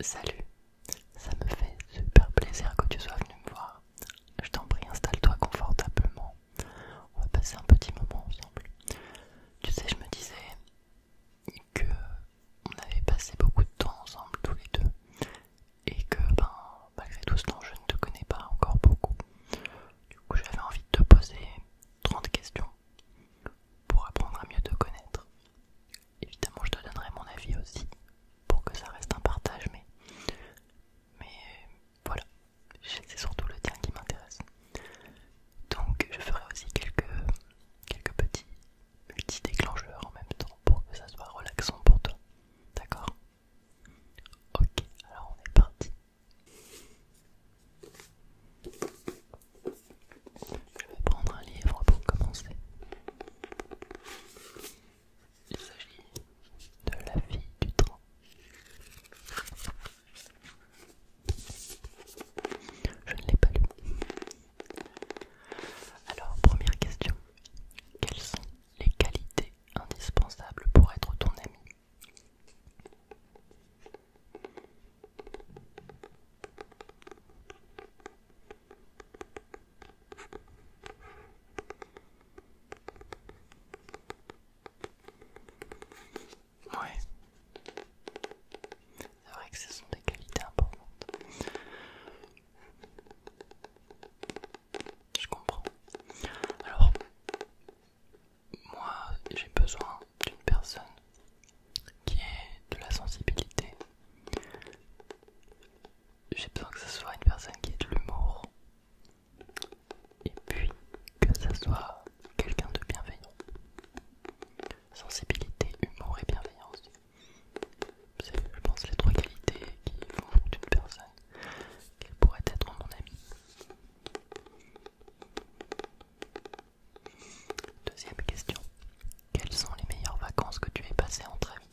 Salut, ça me fait super plaisir que tu sois venu me voir. Je t'en prie, installe-toi confortablement. On va passer un petit moment ensemble. Tu sais, je me disais que on avait passé beaucoup de temps ensemble tous les deux et que ben malgré tout ce temps je ne te connais pas encore beaucoup. Du coup, j'avais envie de te poser 30 questions pour apprendre à mieux te connaître évidemment je te donnerai mon avis aussi pour que ça reste un partage mais mais voilà c'est surtout le tien qui m'intéresse donc je ferai aussi quelques quelques petits multi déclencheurs en même temps pour que ça soit relaxant pour toi d'accord ok alors on est parti je vais prendre un livre pour commencer. Il s'agit de La vie du train. Je ne l'ai pas lu. Alors, première question. Quelles sont les qualités indispensables pour être ton ami oui, C'est vrai que ce sont des qualités importantes. Je comprends. Alors, moi, j'ai besoin d'une personne qui est de la sensibilité. J'ai besoin que ce soit une personne qui ait de l'humour. Et puis que ça soit quelqu'un de bienveillant. Sensibilité, humour et bienveillance. C'est, je pense, les trois qualités qui font d'une personne qu'elle pourrait être mon ami. Deuxième question. Quelles sont les meilleures vacances que tu aies passées entre elles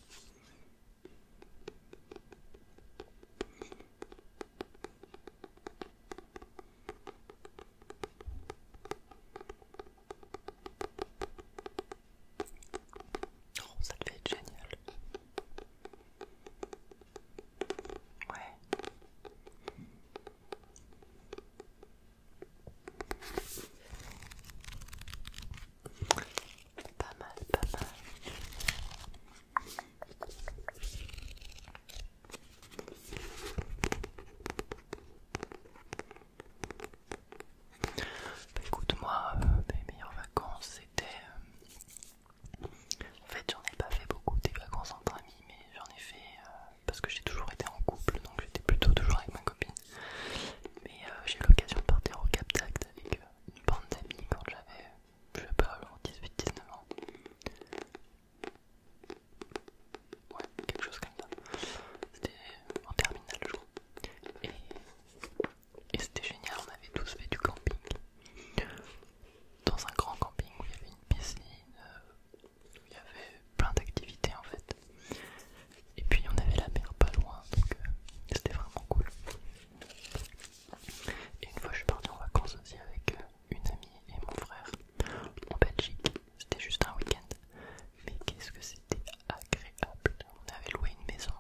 oh, ça devait être génial. Ouais. Pas mal, pas mal. Bah, écoute, moi, euh, mes meilleures vacances c'était. Euh, en fait, j'en ai pas fait beaucoup des vacances entre amis, mais j'en ai fait. Euh, parce que j'ai toujours été en couple, donc j'étais plutôt toujours avec ma copine. Mais euh, j'ai eu l'occasion de partir au Cap Tact avec euh, une bande d'amis quand j'avais, je sais pas, 18-19 ans. Ouais, quelque chose comme ça. C'était en terminale, je crois. Et, c'était génial, on avait tous fait du camping. Dans un grand camping où il y avait une piscine, euh, il y avait plein d'activités en fait. Et puis on avait la mer pas loin, donc euh, c'était vraiment cool. Et une fois je suis partie en vacances aussi avec euh, une amie et mon frère en Belgique, c'était juste un week-end. Mais qu'est-ce que c'était agréable! On avait loué une maison,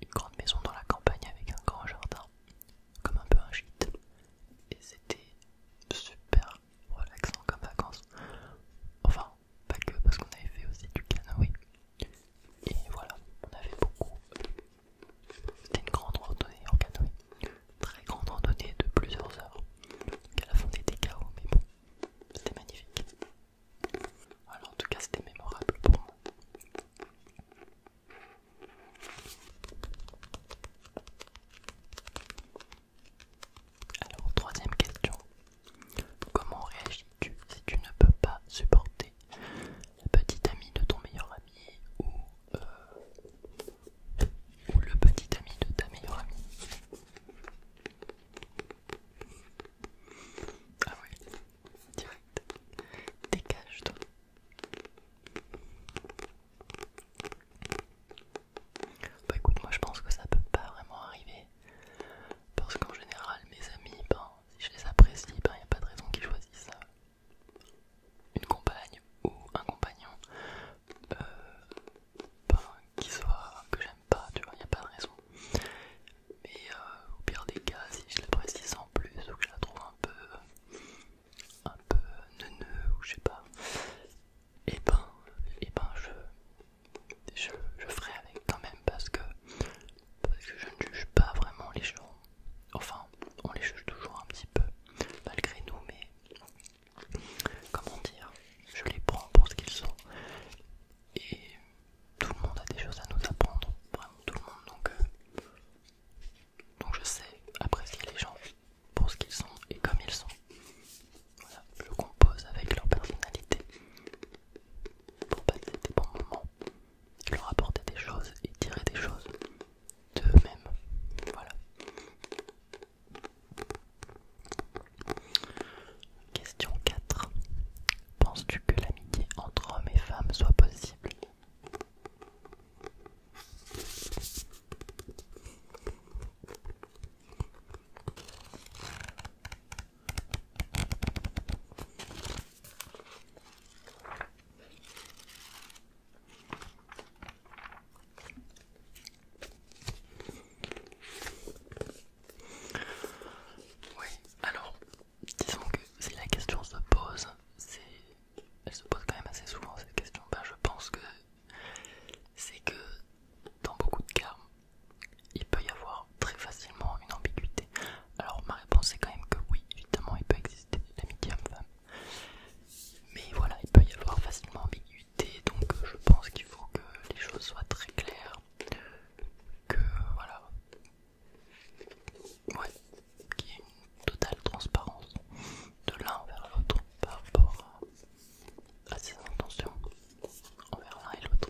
une grande maison dans la campagne avec un grand jardin, comme un peu un gîte. Et c'était super relaxant comme vacances. Enfin, pas que, parce qu'on avait fait aussi du canoë. Et voilà, on avait beaucoup. C'était une grande randonnée en canoë. Très grande randonnée de plusieurs heures. Donc à la fin, on mais bon, c'était magnifique. Alors, en tout cas, c'était mémorable pour moi. Alors, troisième question. Comment réagis-tu si tu ne peux pas supporter la petite amie de ton meilleur ami ou, euh, le petit ami de ta meilleure amie Ah oui, direct. Dégage-toi. Bah écoute, moi je pense que ça peut pas vraiment arriver. Parce qu'en général, mes amis, ben, si je les apprécie, il ben, n'y a pas de raison qu'ils choisissent euh, une compagne ou un compagnon euh, ben, qui soit que j'aime pas, tu vois, il n'y a pas de raison. Mais euh, au pire des cas, si je l'apprécie sans plus ou que je la trouve un peu, un peu neuneux ou je sais pas, et eh ben, et eh ben je, je, ferai avec quand même parce que, je ne juge pas vraiment les gens. Enfin, on les juge toujours un petit peu, malgré nous, mais comment dire, je les prends pour ce qu'ils sont. Et tout le monde a des choses à nous apprendre, vraiment tout le monde. Donc, euh, donc je sais apprécier les gens pour ce qu'ils sont et comme ils sont. Voilà, je compose avec leur personnalité pour passer des bons moments, leur apporter des choses et tirer des choses d'eux-mêmes. Voilà. Question 4. Penses-tu que l'amitié entre hommes et femmes soit possible oui, alors disons que si la question se pose, c'est elle se pose quand même assez souvent cette question. Ben, je pense que c'est que dans beaucoup de cas, il peut y avoir très facilement une ambiguïté. Alors ma réponse est quand même que oui, évidemment il peut exister l'amitié homme-femme. Mais voilà, il peut y avoir facilement ambiguïté, donc je pense qu'il faut que les choses soient très claires. Que voilà. Ouais, qu'il y ait une totale transparence de l'un vers l'autre par rapport à, à ses intentions. On verra l'un et l'autre.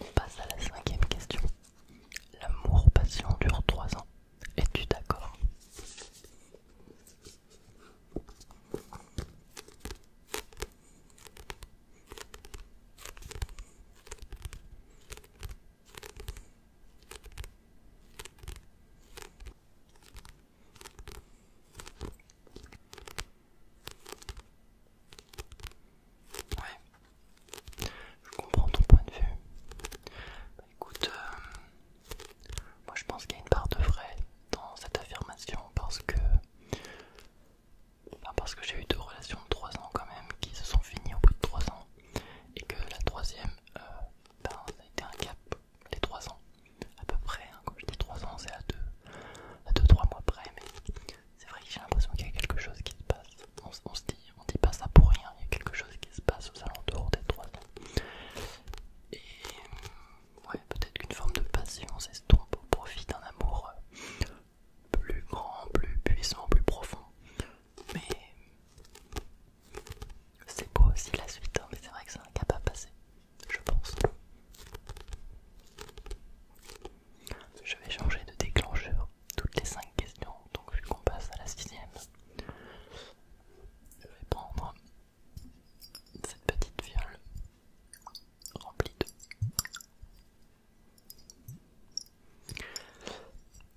On passe à la cinquième question. L'amour passion dure trois ans. Es-tu d'accord Ouais, je comprends ton point de vue. Bah, écoute, euh, moi je pense qu'il y a une part de vrai dans cette affirmation parce que, parce que j'ai eu deux relations de 3 ans quand même qui se sont finies au bout de 3 ans et que la troisième, euh, ben, ça a été un cap les 3 ans, à peu près. Hein. Quand je dis 3 ans, c'est à 2-3 à deux, mois près, mais c'est vrai que j'ai l'impression qu'il y a quelque chose qui se passe. On, se dit, on dit pas ça pour rien, il y a quelque chose qui se passe aux alentours des 3 ans. Et ouais, peut-être qu'une forme de passion s'estompe au profit d'un amour euh, plus grand, plus puissant, plus profond. Mais c'est beau aussi la suite, hein, mais c'est vrai que ça n'a pas passé, passer, je pense. Je vais changer de déclencheur toutes les 5 questions, donc vu qu'on passe à la sixième, je vais prendre cette petite viole remplie de...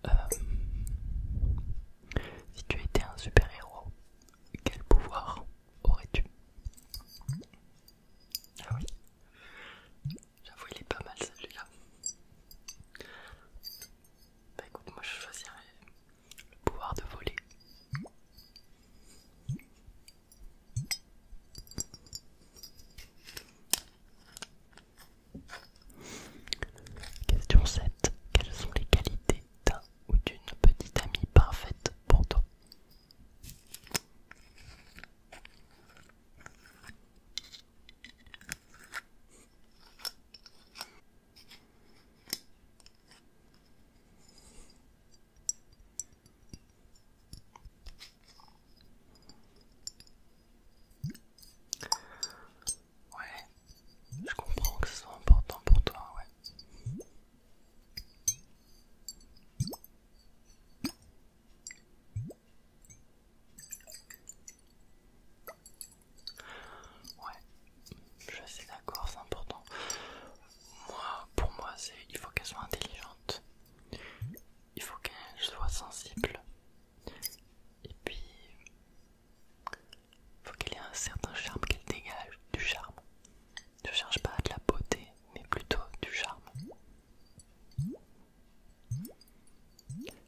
Euh, si tu étais un super-héros, quel pouvoir aurais-tu Ah oui, j'avoue il est pas mal celui-là. Bah écoute, moi je choisirais le pouvoir de voler. Question 7. Quelles sont les qualités d'un ou d'une petite amie parfaite pour toi. Ouais, je comprends que ce soit important pour toi, ouais. Ouais, je suis d'accord, c'est important. Moi, pour moi, c'est il faut qu'elle soit intelligente, il faut qu'elle soit sensible, et puis faut qu'il y ait un certain charme qu'elle dégage, du charme. Je cherche pas de la beauté, mais plutôt du charme.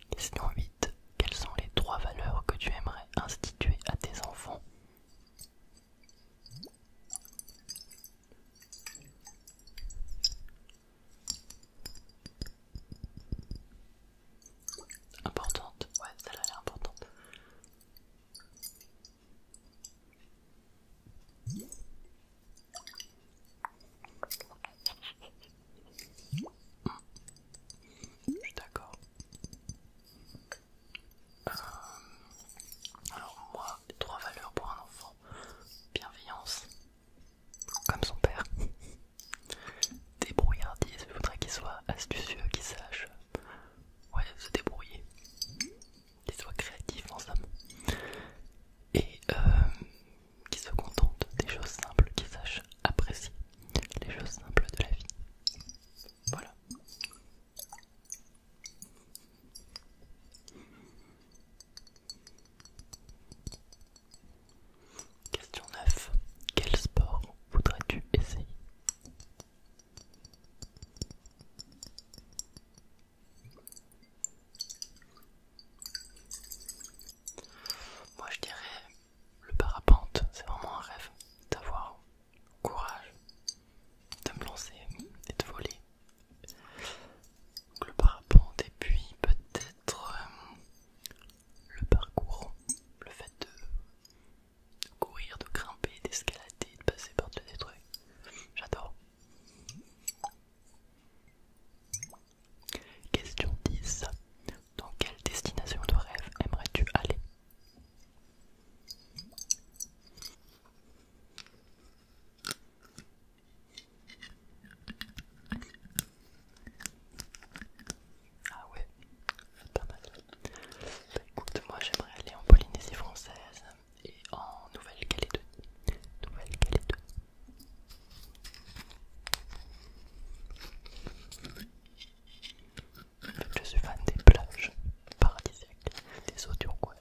Question vite Quelles sont les trois valeurs que tu aimerais instituer à tes enfants Importante, ouais, celle-là elle importante. Je suis d'accord. Euh, alors moi, trois valeurs pour un enfant. Bienveillance, comme son père. Débrouillardise, je voudrais qu'il soit astucieux, qu'il sache ouais, se débrouiller, qu'ils soient créatifs en somme, et euh, qu'ils se contentent des choses simples, qu'ils sachent apprécier les choses simples de la vie. Voilà. Question 9. Quel sport voudrais-tu essayer moi je dirais le parapente, c'est vraiment un rêve d'avoir le courage de me lancer et de voler. Donc le parapente et puis peut-être euh, le parcours, le fait de courir, de grimper, d'escalader, de passer par des trucs. J'adore. Question 10. Dans quelle destination de rêve aimerais-tu aller ah ouais, pas mal. Bah, écoute, moi j'aimerais aller en Polynésie française et en Nouvelle-Calédonie. Nouvelle-Calédonie. je suis fan des plages paradisiaques, des eaux turquoises.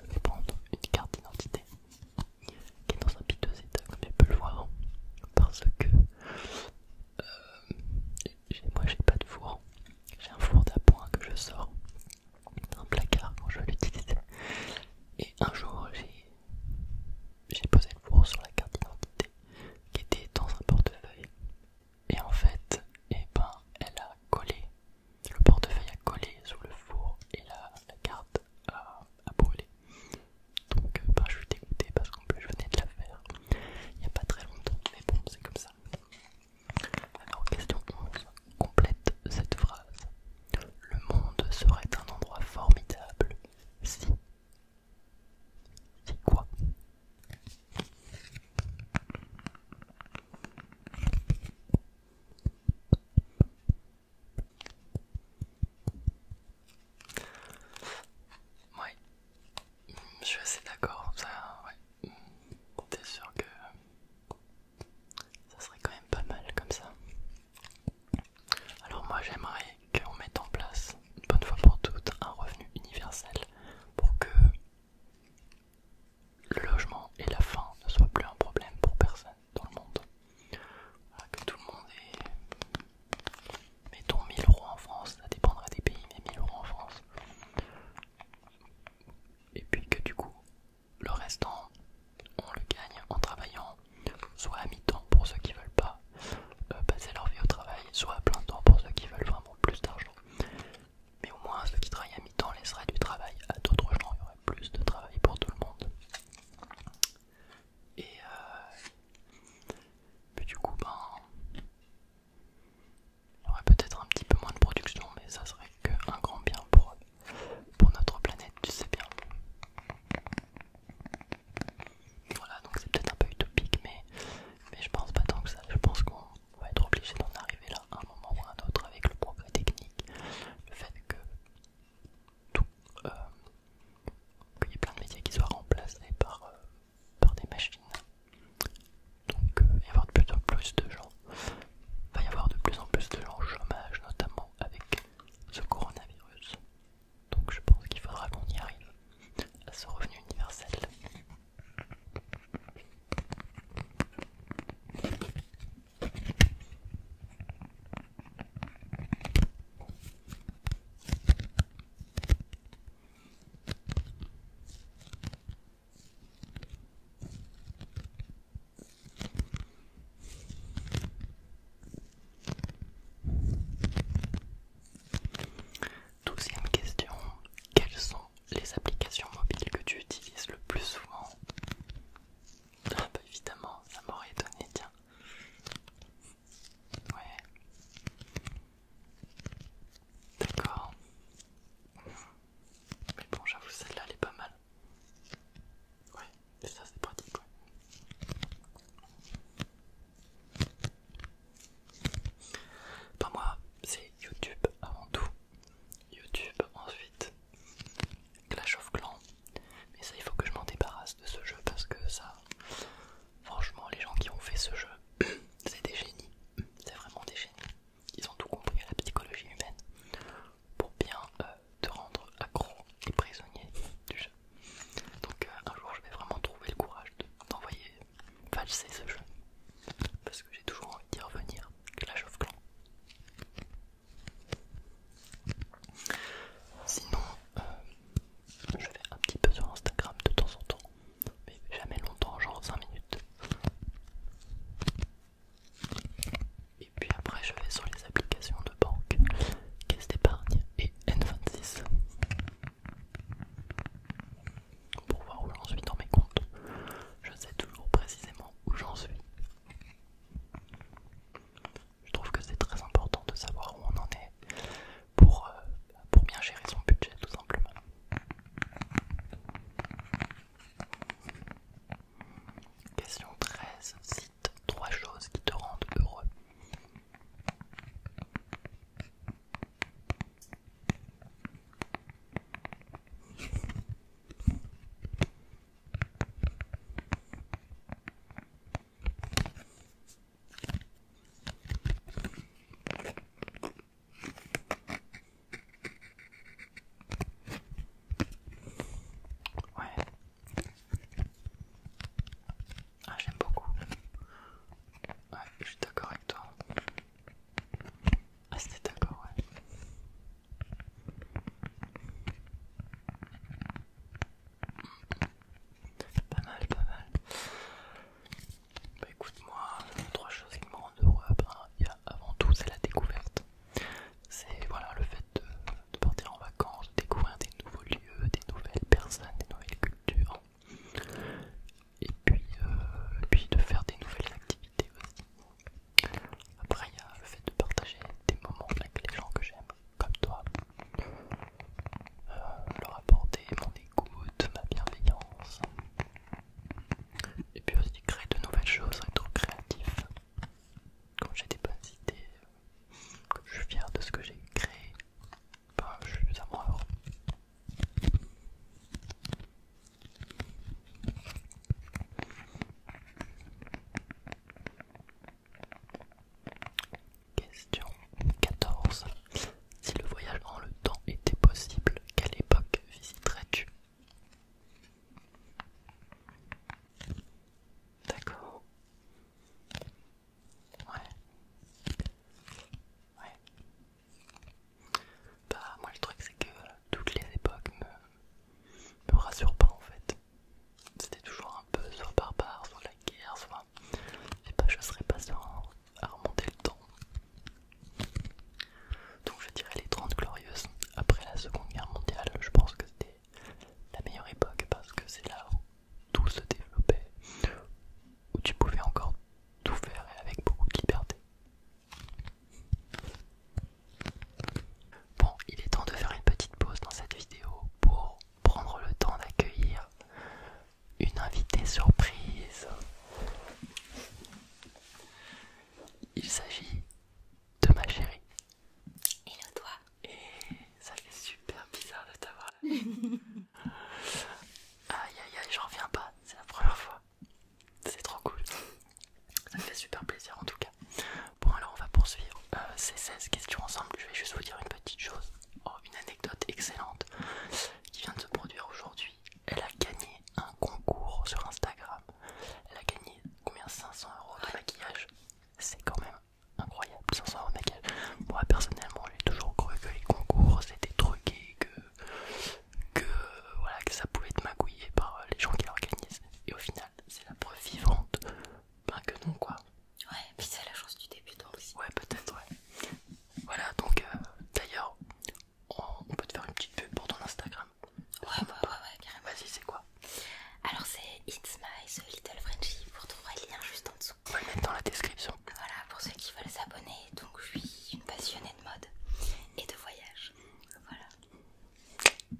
Je vais prendre une carte d'identité qui est dans un piteux état, comme tu peux le voir, parce que euh, moi j'ai pas de four, j'ai un four d'appoint que je sors d'un placard quand je l'utilise Et un jour j'ai posé le four sur la carte d'identité qui était dans un portefeuille. Et en fait, et eh ben, elle a collé, le portefeuille a collé sous le four et la, carte a brûlé. Donc euh, bah, je suis dégoûté parce qu'en plus je venais de la faire il n'y a pas très longtemps, mais bon c'est comme ça. Alors question 11, complète cette phrase. Le monde serait un endroit formidable si... Si quoi Ouais, je suis assez d'accord, T'es sûr que ça serait quand même pas mal comme ça. Alors moi j'aimerais qu'on mette en place, une bonne fois pour toutes, un revenu universel pour que le logement et la faim ne soient plus un problème pour personne dans le monde. Ah, que tout le monde ait, mettons 1000 euros en France, ça dépendra des pays, mais 1000 euros en France. Et puis que du coup, le restant, on le gagne en travaillant soit à mi-temps pour ceux qui veulent pas euh, passer leur vie au travail, soit à plein temps pour ceux qui veulent vraiment plus d'argent. Mais au moins, ceux qui travaillent à mi-temps laisseraient du travail à d'autres gens, il y aurait plus de travail pour tout le monde. Et euh, du coup, ben, il y aurait peut-être un petit peu moins de production, mais ça serait qu'un grand bien pour, notre planète, tu sais bien. Voilà, donc c'est peut-être un peu utopique, mais, mais je pense pas tant que ça. Je pense qu'on va être obligé d'en arriver là à un moment ou à un autre avec le progrès technique, le fait que tout. Euh, il y a plein de métiers qui soient remplacés par, euh, des machines. Donc euh, il va y avoir de plus en plus de gens. Il va y avoir de plus en plus de gens au chômage, notamment avec ce coronavirus. Donc je pense qu'il faudra qu'on y arrive à ce revenu universel. Deuxième question, quelles sont les applications mobiles que tu utilises le plus souvent ah bah évidemment, ça m'aurait donné... tiens. Ouais. D'accord. Mais bon, j'avoue, celle-là, elle est pas mal. Ouais, et ça, c'est pratique, ouais. Pour moi, c'est YouTube avant tout. YouTube, ensuite Clash of Clans, mais ça, il faut que je m'en débarrasse de ce jeu parce que ça, franchement, les gens qui ont fait ce jeu, c'est des génies. C'est vraiment des génies. Ils ont tout compris à la psychologie humaine pour bien euh, te rendre accro et prisonnier du jeu. Donc, euh, un jour, je vais vraiment trouver le courage d'envoyer t'envoyer valser ce jeu parce que j'ai toujours envie d'y revenir. Clash of Clans. Sinon, euh, je vais un petit peu sur Instagram de temps en temps, mais jamais longtemps, genre 5 minutes. Et puis après, je vais sur les applications de banque, Caisse d'épargne et N26 pour voir où j'en suis dans mes comptes. Je sais toujours précisément où j'en suis. Je trouve que c'est très important de savoir où on en est pour, euh, pour bien gérer son budget tout simplement. Question 13. Cite trois choses qui te rendent heureux. Ouais. Ah, j'aime beaucoup. Ouais, je suis d'accord avec toi. Ah, c'était d'accord, ouais. Pas mal, pas mal. Bah écoute-moi, trois choses qui me rendent heureux. Ah ben, il y a avant tout, c'est la découverte. C'est voilà, le fait de, partir en vacances, de découvrir des nouveaux lieux, des nouvelles personnes, des nouvelles cultures. Et puis, euh, et puis de faire des nouvelles activités aussi. Après, il y a le fait de partager des moments avec les gens que j'aime comme toi, euh, leur apporter mon écoute, ma bienveillance, et puis aussi créer de nouvelles choses, être créatif. Quand j'ai des bonnes idées, je suis fier de ce que j'ai créé, ben, je suis à Question 14. Si le voyage en le temps était possible, quelle époque visiterais-tu D'accord. Ouais. Ouais. Bah moi le truc c'est que euh, toutes les époques me, rassurent pas en fait. C'était toujours un peu soit barbare, soit la guerre, soit et bah je serais sûr à remonter le temps. Donc je dirais les 30 glorieuses après la Seconde Guerre mondiale, je pense que c'était la meilleure époque parce que c'est là où tout se développait, où tu pouvais encore tout faire et avec beaucoup de liberté. Bon, il est temps de faire une petite pause dans cette vidéo pour prendre le temps d'accueillir une invitée surprise. Il s'agit de ma chérie. Hello toi. Et ça fait super bizarre de t'avoir là. aïe aïe aïe, j'en reviens pas, c'est la première fois. C'est trop cool. Ça me fait super plaisir en tout cas. Bon alors on va poursuivre euh, ces 16 questions ensemble. Je vais juste vous dire une petite chose. Oh, une anecdote excellente qui vient de se produire aujourd'hui. Elle a gagné un concours sur Instagram. Elle a gagné combien 500 euros de maquillage. C'est quand même incroyable, de Moi personnellement, j'ai toujours cru que les concours c'était truqué, que, que voilà que ça pouvait être magouillé par les gens qui l'organisent. Et au final, c'est la preuve vivante, ben que non quoi. Ouais, puis c'est la chance du débutant aussi. Ouais, peut-être, ouais. Voilà, donc euh, d'ailleurs, on, peut te faire une petite pub pour ton Instagram. Ouais, ouais, ouais, ouais, carrément. Vas-y, c'est quoi Alors, c'est It's My Little Frenchie. Vous retrouverez le lien juste en dessous. On va le mettre dans la description. Voilà, pour ceux qui veulent s'abonner. Donc, je suis une passionnée de mode et de voyage. Voilà.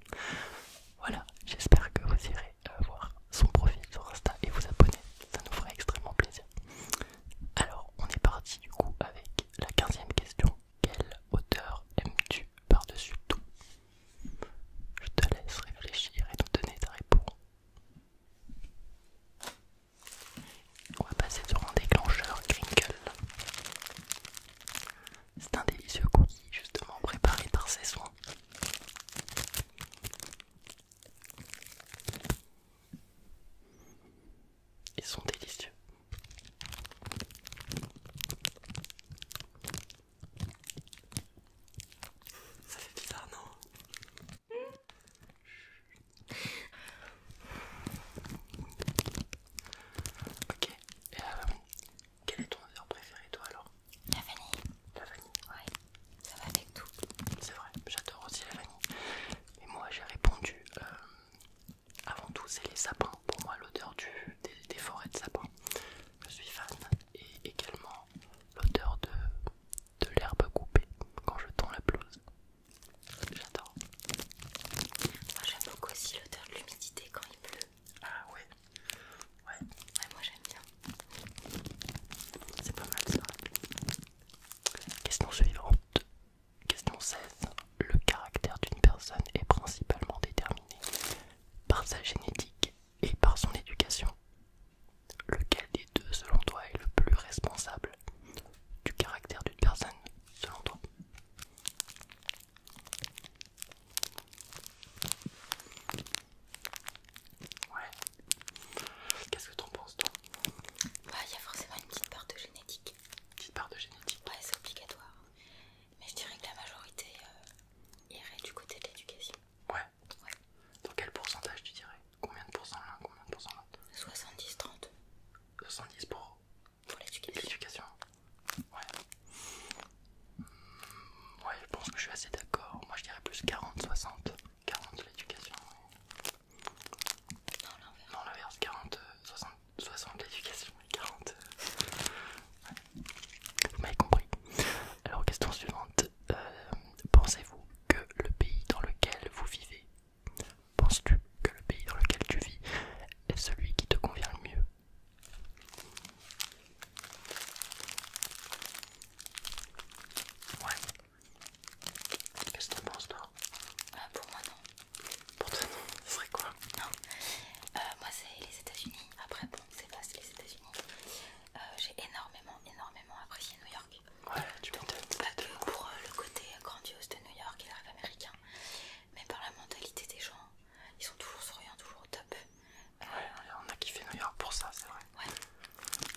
Voilà, j'espère que vous irez voir son profil sur Insta et vous abonner, ça nous ferait extrêmement plaisir. Alors, on est parti du coup avec la 15ème question. Quelle hauteur aimes-tu par-dessus tout Je te laisse réfléchir et nous donner ta réponse. On va passer sur un déclencheur crinkle. C'est un délicieux cookie justement préparé par ses soins. Ils sont délicieux. Ça fait bizarre, non Ok, et euh, quel est ton heure préféré toi alors la vanille. La vanille Ouais, ça va avec tout. C'est vrai, j'adore aussi la vanille. Et moi j'ai répondu, euh, avant tout c'est les sapins. Pour moi l'odeur des, forêts de sapins, je suis fan. Et également l'odeur de, de l'herbe coupée quand je tends la pelouse. J'adore. Moi j'aime beaucoup aussi l'odeur de l'humidité quand il pleut. Ah Ouais, ouais moi j'aime bien. C'est pas mal ça. Question suivante. Question 16. Le caractère d'une personne est principalement déterminé par sa génétique et par son éducation. Lequel des deux, selon toi, est le plus responsable du caractère d'une personne, selon toi Ouais, Qu'est-ce que en penses toi bah, Il y a forcément une petite part de génétique. Une petite part de génétique Ouais, c'est obligatoire. Mais je dirais que la majorité euh, irait du côté de l'éducation. Ouais. Dans quel pourcentage tu dirais Combien de pourcents Combien de pourcents l'autre 70-30. 70 pour, pour l'éducation. Ouais. Hmm, ouais, je pense que je suis assez d'accord. Moi je dirais plus 40-60. 40 l'éducation. Non, l'inverse. 40, 60, 60 l'éducation et 40. Euh, vous m'avez compris. Alors, question suivante. Euh, pensez-vous que le pays dans lequel vous vivez, pense tu que le pays dans lequel tu vis est celui qui te convient le mieux Ouais. Qu'est-ce que t'en penses toi euh, Pour moi non. Pour toi non Ça serait quoi Non. Euh, moi c'est les États-Unis. Après bon, c'est c'est les États-Unis. Euh, j'ai énormément, énormément apprécié New York. Ouais, tu t'entends pas que pour le côté grandiose de New York et le rêve américain, mais par la mentalité des gens. Ils sont toujours souriants, toujours au top. Ouais, on a kiffé New York pour ça, c'est vrai. Ouais.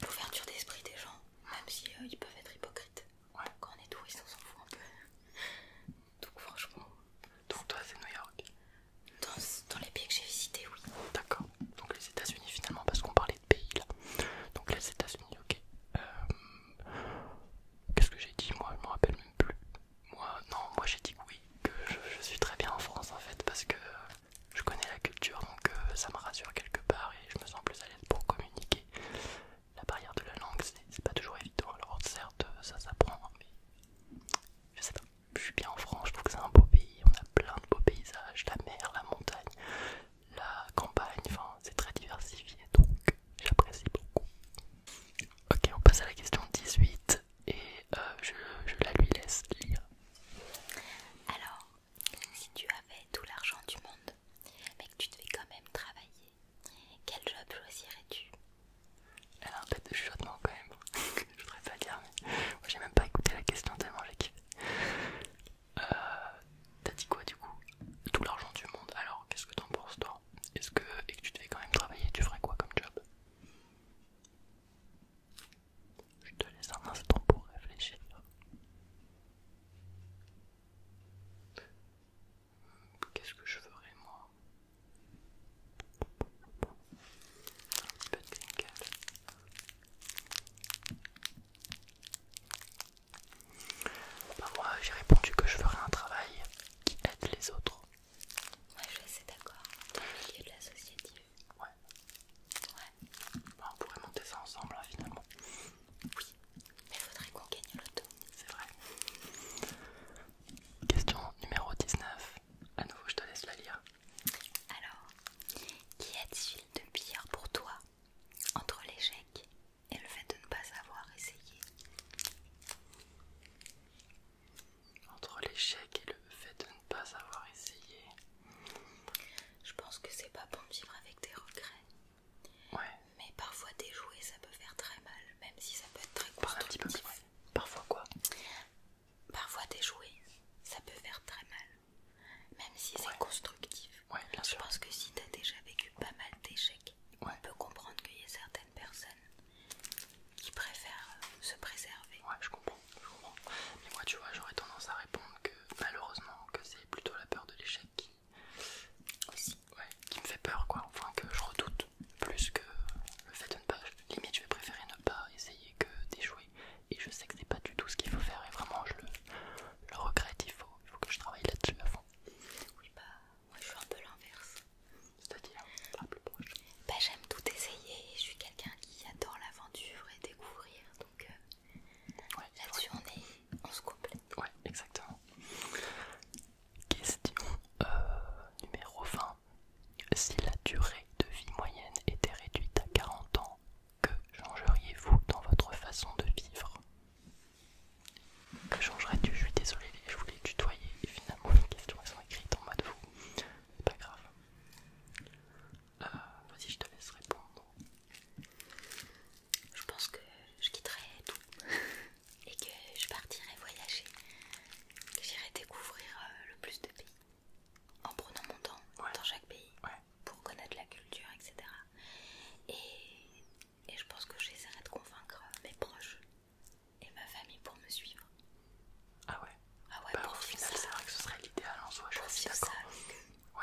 L'ouverture d'esprit des gens, même si euh, peuvent être hypocrites. Quand on est touristes, on s'en fout un peu. Donc franchement. Donc toi, c'est New York. Dans, les pays que j'ai visités, oui. D'accord. Donc les États-Unis finalement, parce qu'on parlait de pays là. Donc les États-Unis, ok. Euh, qu'est-ce que j'ai dit Moi, je me rappelle même plus. Moi, non, moi j'ai dit oui, que je suis très bien en France en fait, parce que je connais la culture donc euh, ça me rassure quelque part et je me sens plus à l'aise pour communiquer. La barrière de la langue c'est pas toujours évident alors certes ça s'apprend mais je sais pas, je suis bien en France, je trouve que c'est un beau pays, on a plein de beaux paysages, la mer, la montagne, la campagne, enfin c'est très diversifié donc j'apprécie beaucoup. Ok on passe à la question 18 et euh, je la lui laisse lire. Alors, si tu avais tout l'argent du monde, mais que tu devais quand même travailler, quel job choisirais-tu Elle a un tête de chuchotement quand même, je voudrais pas dire, mais moi j'ai même pas écouté la question tellement j'ai euh, T'as dit quoi du coup Tout l'argent du monde, alors qu'est-ce que t'en penses toi Est-ce que, et que tu devais quand même travailler, tu ferais quoi comme job je te laisse un instant pour réfléchir. Qu'est-ce que je ferais moi Un petit peu de bah, moi j'ai répondu que je ferais un travail qui aide les autres. Moi je suis d'accord, dans le milieu de l'associative. Ouais. Bah, on pourrait monter ça ensemble, hein, finalement. Oui. Mais il faudrait qu'on gagne l'auto. C'est vrai. Question numéro 19. A nouveau, je te laisse la lire. Alors, Qui a-t-il de pire pour toi entre l'échec et le fait de ne pas avoir essayé Entre l'échec et le fait de ne pas avoir essayé je pense que c'est pas bon de vivre avec des regrets. Mais parfois déjouer ça peut faire très mal, même si ça peut être très constructif. Parfois quoi Parfois déjouer ça peut faire très mal, même si c'est constructif. Ouais, Je pense que si t'as déjà vécu pas mal d'échecs, on peut comprendre qu'il y a certaines personnes qui préfèrent euh, se préserver. Ouais, je comprends. Mais moi, tu vois, j'aurais tendance à répondre que malheureusement, que c'est plutôt la peur de l'échec qui... qui me fait peur, quoi. Enfin, que je redoute plus que le fait de ne pas. Limite, je vais préférer ne pas essayer que d'échouer. Et je sais que c'est pas du tout ce qu'il faut faire. Et vraiment, je le, regrette. Il faut, que je travaille là-dessus avant. Oui, bah, moi je suis un peu l'inverse. C'est-à-dire, pas plus proche. Bah, j'aime tout essayer. Je suis quelqu'un qui adore l'aventure et découvrir. Donc euh, ouais, est... se complète. Ouais, exactement. Question euh, numéro 20. Si la durée de vie moyenne était réduite à 40 ans, que changeriez-vous dans votre façon de vivre Que changerais-tu Je suis désolé, je voulais tutoyer finalement les questions sont écrites en mode vous. C'est pas grave. Euh, vas-y, je te laisse répondre. Je pense que je quitterai tout et que je partirai voyager, j'irai découvrir euh, le plus de pays en prenant mon temps dans chaque pays pour connaître la culture, etc. Et, et je pense que j'essaierai de convaincre euh, mes proches et ma famille pour me suivre. Ah ouais ah ouais, bah, au final, c'est vrai que ce serait l'idéal en hein, soi, je Ouais.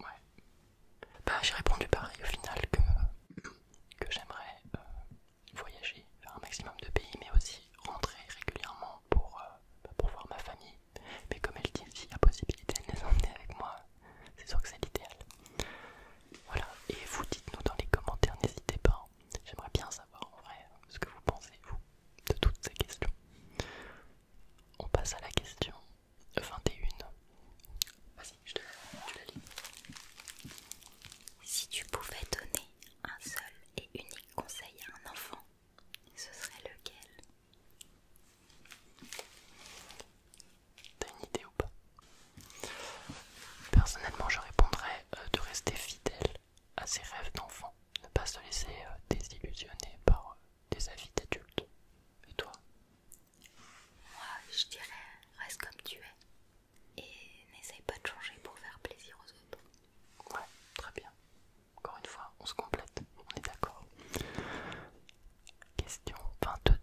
Ouais. Bah, j'ai répondu pareil au final que, que j'aimerais euh, voyager, vers un maximum de pays, mais aussi rentrer régulièrement pour, euh, bah, pour voir ma famille. Mais comme elle dit, s'il y a possibilité de les emmener avec moi, c'est sûr que c'est l'idéal. Voilà, et vous dites-nous dans les commentaires, n'hésitez pas. Hein. J'aimerais bien savoir en vrai ce que vous pensez, vous, de toutes ces questions. On passe à la question 21. Vas-y, je te lis. Si tu pouvais donner un seul et unique conseil à un enfant, ce serait lequel T'as une idée ou pas Personnellement, je répondrais euh, de rester fidèle à ses rêves d'enfant, ne pas se laisser euh, désillusionner par euh, des avis d'adultes. Et toi Moi, je dirais reste comme tu es et n'essaye pas de changer pour faire plaisir aux autres. Ouais, très bien. Encore une fois, on se complète, on est d'accord. Question 22.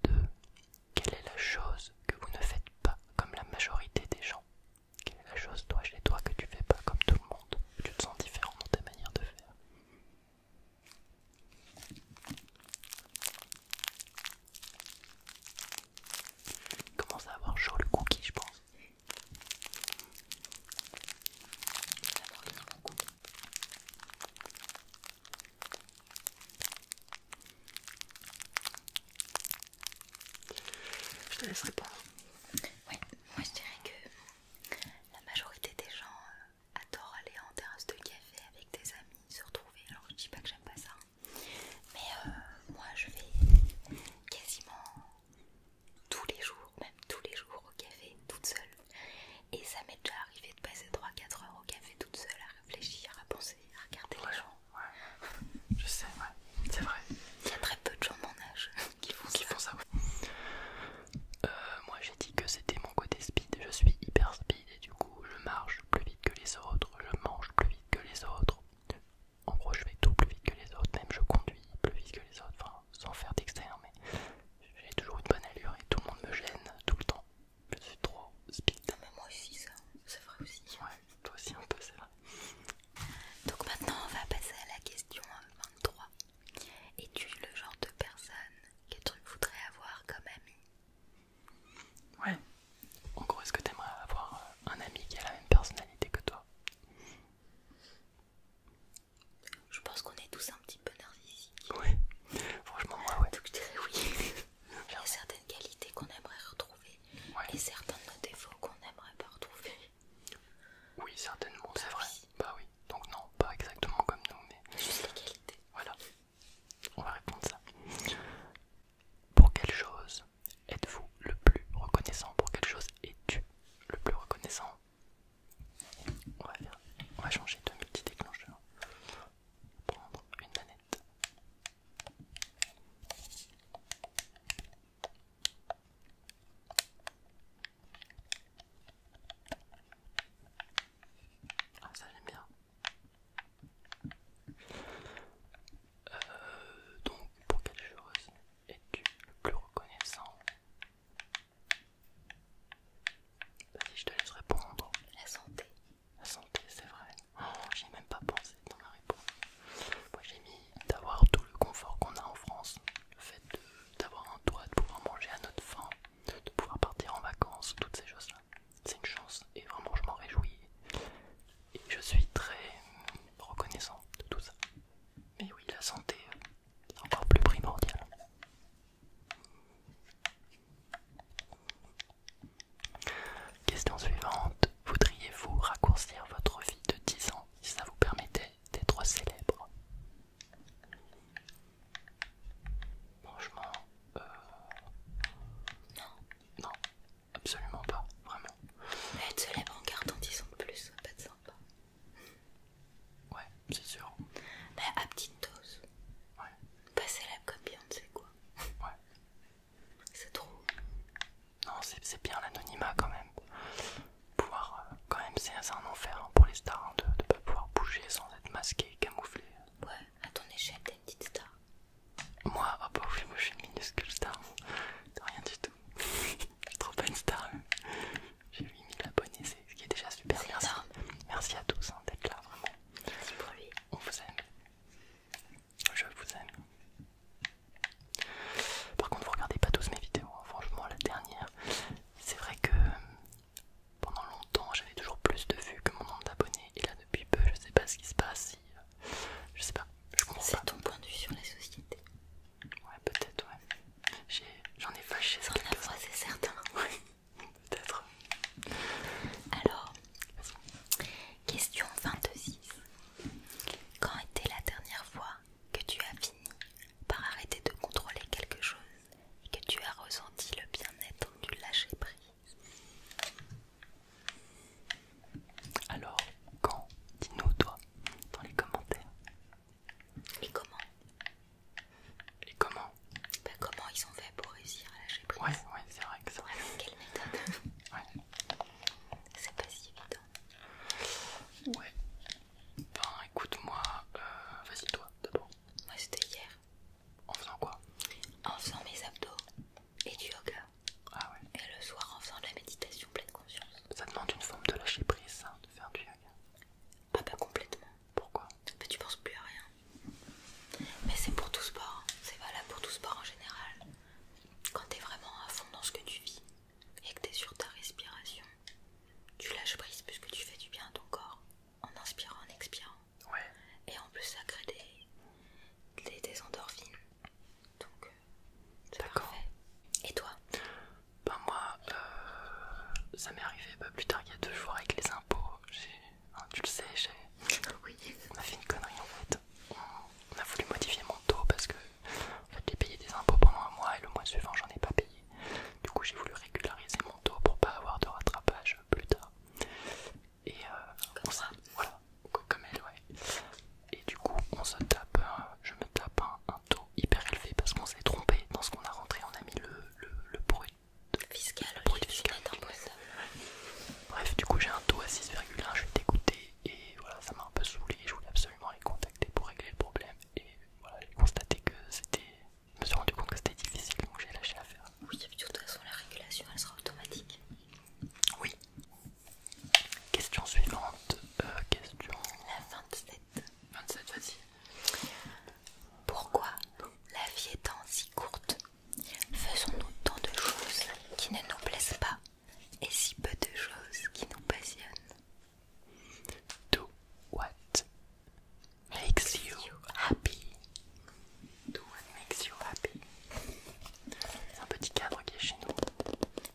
Quelle est la chose que vous ne faites pas comme la majorité des gens Quelle est la chose, toi, chez toi, que tu fais pas comme tout le monde tu te sens différent dans tes manières de faire. Il commence à avoir chaud le cookie, je pense. Je te laisserai pas. Oui, moi je dirais que la majorité des gens euh, adorent aller en terrasse de café avec des amis, se retrouver. Alors je dis pas que j'aime pas ça, hein. mais euh, moi je vais quasiment tous les jours, même tous les jours au café, toute seule. Et ça m'est déjà arrivé de passer 3-4 heures au café toute seule à réfléchir, à penser, à regarder les gens. Je sais, ouais, c'est vrai. Il y a très peu de gens de mon âge font euh, moi j'ai dit que c'était mon côté speed, je suis hyper speed et du coup je marche plus vite que les autres, je mange plus vite que les autres. En gros je fais tout plus vite que les autres, même je conduis plus vite que les autres, sans faire d'extérieur mais j'ai toujours une bonne allure et tout le monde me gêne tout le temps. Je suis trop speed. Ah, moi aussi ça, c'est vrai aussi. Ouais, toi aussi un peu c'est vrai. Donc maintenant on va passer à la question 23. Es-tu le genre de personne que tu voudrais avoir comme ami Ouais. En gros, est-ce que tu aimerais avoir euh, un ami qui a la même personnalité que toi Je pense qu'on est tous un petit peu narcissiques. Ouais. Franchement, moi, ouais. Donc je dirais oui. Il y a certaines qualités qu'on aimerait retrouver et certains de nos défauts qu'on aimerait pas retrouver. Oui, certainement, c'est vrai. Bah oui, donc non, pas exactement comme nous, mais. Voilà, on va répondre ça. Pour quelle chose êtes-vous le plus reconnaissant Pour quelle chose es-tu le plus reconnaissant on va, on va changer de multi déclencheur. Prendre une manette. Ah ça j'aime bien. Euh, donc pour quelle chose es-tu le plus reconnaissant Vas-y, je te laisse répondre. La santé. La santé, c'est vrai. Oh, j'ai même pas pensé dans ma réponse. Moi j'ai mis d'avoir tout le confort qu'on a en France, le fait d'avoir un toit, de pouvoir manger à notre faim, de pouvoir partir en vacances, toutes ces choses-là. C'est une chance et vraiment je m'en réjouis. Et je suis très reconnaissant de tout ça. Mais oui, la santé, euh, est encore plus primordial. Question suivante. Voudriez-vous raccourcir votre vie de 10 ans si ça vous permettait d'être célèbre Franchement, euh, non, absolument pas, vraiment. Mais célèbre les en gardant ils de plus, ça pas être sympa. Ouais, c'est sûr. Mais bah, à petite dose. Ouais. Pas célèbre comme Beyoncé, quoi. Ouais. C'est trop. Non, c'est bien l'anonymat quand même pouvoir euh, quand même c'est un enfer hein, pour les stars hein, de ne pas pouvoir bouger sans être masqué, camouflé. Ouais, à ton échelle t'es une petite star. Moi, oh bah je suis minuscule star, c'est rien du tout. je suis trop pas star. J'ai 8000 abonnés, ce qui est déjà super. merci. à tous hein, d'être là, vraiment. Merci On vous aime. Je vous aime. Par contre, vous regardez pas tous mes vidéos, franchement, la dernière, c'est vrai que euh, pendant longtemps j'avais toujours plus de vues que mon nombre d'abonnés et là depuis peu je sais pas ce qui se passe, euh, je sais pas, je comprends C'est ton point de vue sur la société Ouais peut-être ouais, j'en ai, fâché ça c'est certain Oui, peut-être Alors, question 26 Quand était la dernière fois que tu as fini par arrêter de contrôler quelque chose et que tu as ressenti le bien-être du lâcher prise. Alors, quand Dis-nous toi dans les commentaires. Et comment Et comment ben, Comment ils ont fait pour réussir à lâcher prise Ouais, c'est vrai que ça. quelle méthode Ouais. C'est pas si évident. Ouais. Ben écoute-moi, euh, vas-y toi d'abord. Moi c'était hier. En faisant quoi En faisant mes abdos et du yoga. Ah ouais. Et le soir en faisant de la méditation pleine conscience. Ça demande une forme de lâcher prise de faire du yoga. Ah bah complètement. Pourquoi Bah tu penses plus à rien. Mais c'est pour tout sport, hein. c'est valable pour tout sport en général. Quand t'es vraiment à fond dans ce que tu vis, et que tu sur ta respiration, tu lâches prise puisque tu fais du bien à ton corps en inspirant, en expirant. Et en plus, ça crée des, endorphines. Donc, euh, c'est parfait. Et toi pas ben, moi, euh, ça m'est arrivé pas bah, plus tard il y a deux jours avec les impôts. tu le sais, j'ai. On a fait une connerie en fait. On a voulu modifier mon dos parce que j'ai payé des impôts pendant un mois et le mois suivant, j'en ai pas payé. Du coup, j'ai voulu régulariser mon taux pour pas avoir de rattrapage plus tard. Et euh, Voilà, comme elle, ouais. Et du coup, on tape, je me tape un, taux hyper élevé parce qu'on s'est trompé dans ce qu'on a rentré. On a mis le, brut fiscal. Bref, du coup, j'ai un taux à 6,1, je suis dégoûté et voilà, ça m'a un peu saoulé. Je voulais absolument les contacter pour régler le problème voilà, j'ai constaté que c'était. Je me suis rendu compte que c'était difficile donc j'ai lâché l'affaire. Oui, de toute façon, la régulation elle sera automatique. Oui. Question suivante. Euh, question. La 27. 27, vas-y. Pourquoi la vie étant si courte, faisons-nous tant de choses qui ne nous plaisent pas et si peu de choses qui nous passionnent Do what makes you happy. Do what makes you happy. C'est un petit cadre qui est chez nous.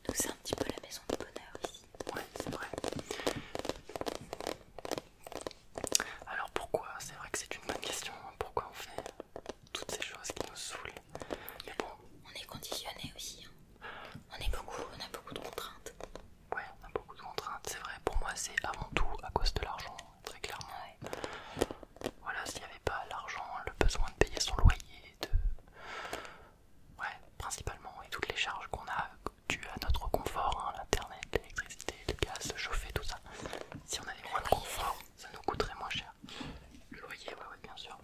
Nous, c'est un petit peu la maison du bonheur ici. Ouais, c'est vrai. Alors pourquoi C'est vrai que c'est une bonne question. Hein. Pourquoi on fait toutes ces choses qui nous saoulent Mais bon, on est conditionné aussi. Hein. On est beaucoup, on a beaucoup de contraintes. Ouais, on a beaucoup de contraintes, c'est vrai. Pour moi, c'est avant tout à cause de l'argent, très clairement. Voilà, s'il n'y avait pas l'argent, le besoin de payer son loyer, de. Ouais, principalement, et toutes les charges qu'on a dues à notre confort, hein, l'internet, l'électricité, le gaz, le chauffer, tout ça. Si on avait moins de confort, ça nous coûterait moins cher. Le loyer, ouais, ouais, bien sûr.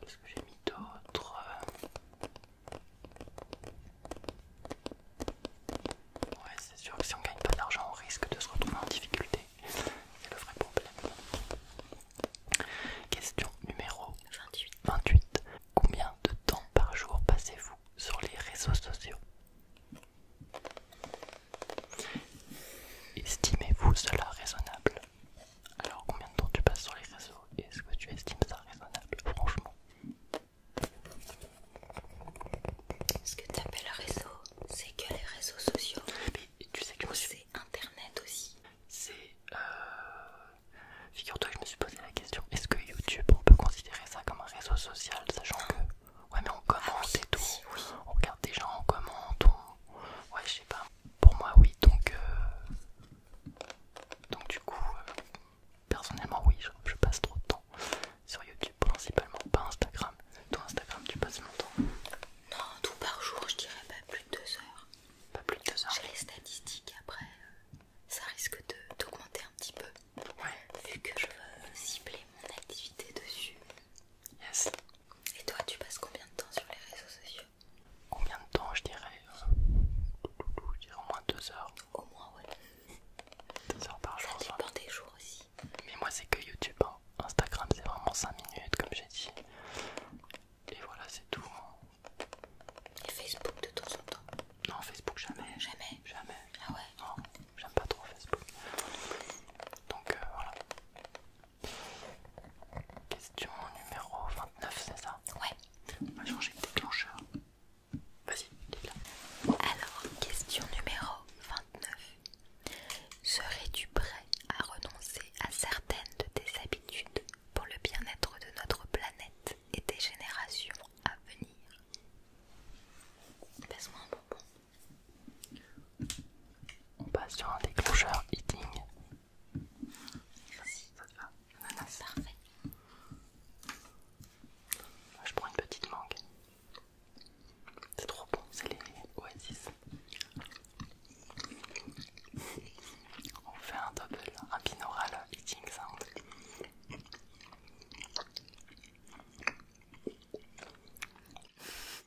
Qu'est-ce que j'ai mis d'autres Ouais, c'est sûr que si on gagne pas d'argent, on risque de se retrouver en difficulté. C'est le vrai problème. Question numéro 28. 28. Combien de temps par jour passez-vous sur les réseaux sociaux Estimez-vous cela raisonnable alors combien de temps tu passes sur les réseaux et est-ce que tu estimes ça raisonnable franchement Ce que tu appelles réseau, c'est que les réseaux sociaux. Mais tu sais que C'est internet aussi. C'est... Euh, figure-toi que je me suis posé la question, est-ce que YouTube on peut considérer ça comme un réseau social sachant que... Ouais mais on ah commente et tout, on regarde des gens, on commente, Ouais je sais pas. Pour moi, oui, donc. Euh, donc, du coup, euh, personnellement, oui, je, passe trop de temps sur YouTube, principalement, pas Instagram. Toi, Instagram, tu passes temps Non, tout par jour, je dirais pas plus de deux heures. Pas plus de deux heures J'ai les statistiques après, euh, ça risque d'augmenter un petit peu. Ouais. Vu que je veux cibler mon activité dessus. Yes. Et toi, tu passes combien de temps sur les réseaux sociaux Combien de temps je dirais euh, au moins 2 heures. Au moins, ouais. 2 heures par jour. Ça des jours aussi. Mais moi, c'est que YouTube. Hein. Instagram, c'est vraiment 5 minutes, comme j'ai dit. Et voilà, c'est tout. Hein. Et Facebook de temps en temps Non, Facebook jamais. Jamais Jamais. Ah ouais Non, j'aime pas trop Facebook. Donc euh, voilà. Question numéro 29, c'est ça Ouais. On va changer de déclencheur. Vas-y, dis-la. Alors, question numéro 29. Serais-tu prêt à renoncer à certaines de tes habitudes pour le bien-être de notre planète et des générations à venir laisse moi un bonbon. On passe sur un déclencheur eating. Merci. Parfait. Je prends une petite mangue. C'est trop bon, c'est les oasis. On fait un double, un binaural eating sound.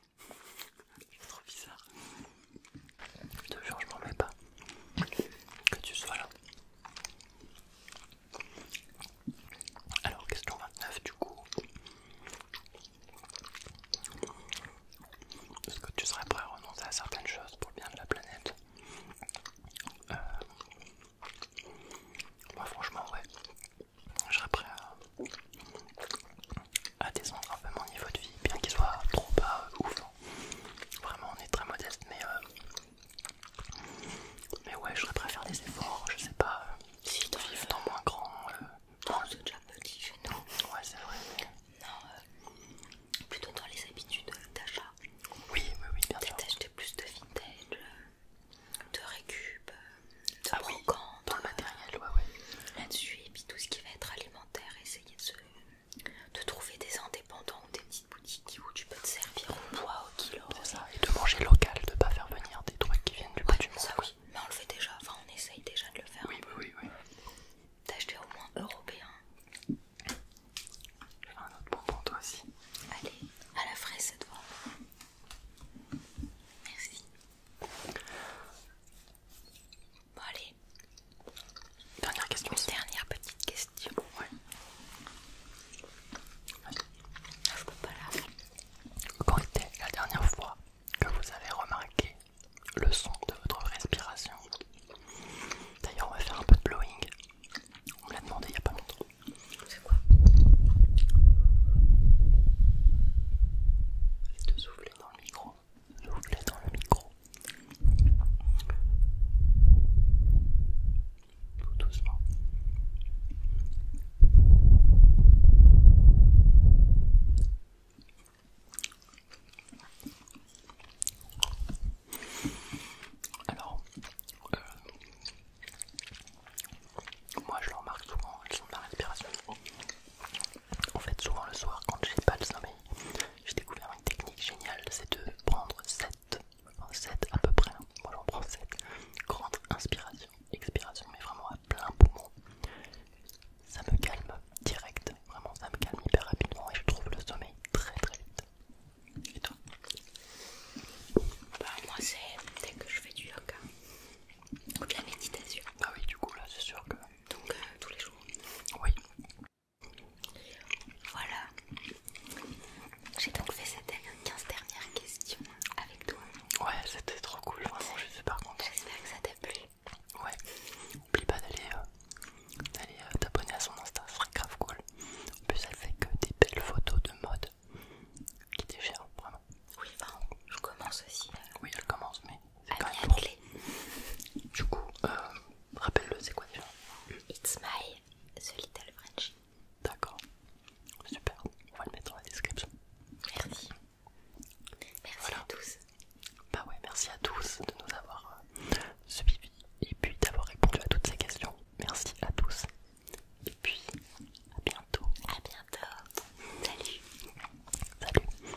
C'est trop bizarre. Je te jure, je m'en mets pas. Que tu sois là. Alors, question 29 du coup. Est-ce que tu serais prêt à renoncer à certaines choses pour le bien de la planète Moi euh, bah, franchement ouais, je serais prêt à à descendre un peu mon niveau de vie, bien qu'il soit trop bas euh, ouf. Hein. Vraiment, on est très modeste, mais euh, mais ouais, je faire des efforts. Je sais pas euh, si si tu vivre dans moins grand. Non, c'est déjà déjà petit chez nous. Ouais, c'est vrai. Non, plutôt dans les habitudes d'achat. Oui, oui, oui, bien sûr. D'acheter plus de vintage, de récup, de ah dans le matériel, ouais, ouais. Là-dessus, et puis tout ce qui va être alimentaire et de, trouver des indépendants ou des petites boutiques où tu peux te servir au bois, au kilo. C'est ça, et de manger local, de ne pas faire venir des trucs qui viennent du bout du monde. Ça, oui. Mais on le fait déjà, enfin on essaye déjà de le faire. Oui, oui, oui. oui. D'acheter au moins européen. J'ai un autre bonbon toi aussi. Allez, à la fraise cette fois. Merci. Bon allez. Dernière question. dernière petite question. Quand était la dernière fois que vous avez remarqué le son de votre respiration D'ailleurs, on va faire un peu de blowing. On me l'a demandé il n'y a pas longtemps. C'est quoi Arrête de souffler dans le micro je vous laisse dans le micro. Tout doucement. Alors, euh, moi je le remarque souvent, ils sont de la respiration. En fait, souvent le soir, quand j'ai pas le sommeil, j'ai découvert une technique géniale c'est de prendre 7, 7 à peu près, hein. moi j'en prends 7, grande inspiration, expiration, mais vraiment à plein poumon. Ça me calme direct, vraiment ça me calme hyper rapidement et je trouve le sommeil très très vite. Et toi Bah, moi c'est dès que je fais du yoga ou de la méditation. Ah oui, du coup là c'est sûr que donc euh, tous les jours. Oui. Voilà. J'ai donc fait cette 15 dernières questions avec toi. Ouais, c'était trop cool, vraiment, je suis super contente. J'espère que ça t'a plu. Ouais, n'oublie pas d'aller euh, euh, t'abonner à son Insta, ça serait grave cool. En plus, elle fait que des belles photos de mode qui déchirent, vraiment. Oui, enfin, je commence aussi. Oui, elle commence, mais c'est quand Du coup, euh, rappelle-le, c'est quoi déjà It's my Little friendship. D'accord, super, on va le mettre dans la description. Merci. Merci à tous. Bah ouais, merci à tous de nous avoir euh, suivis et puis d'avoir répondu à toutes ces questions. Merci à tous. Et puis, à bientôt. À bientôt. Salut. Salut.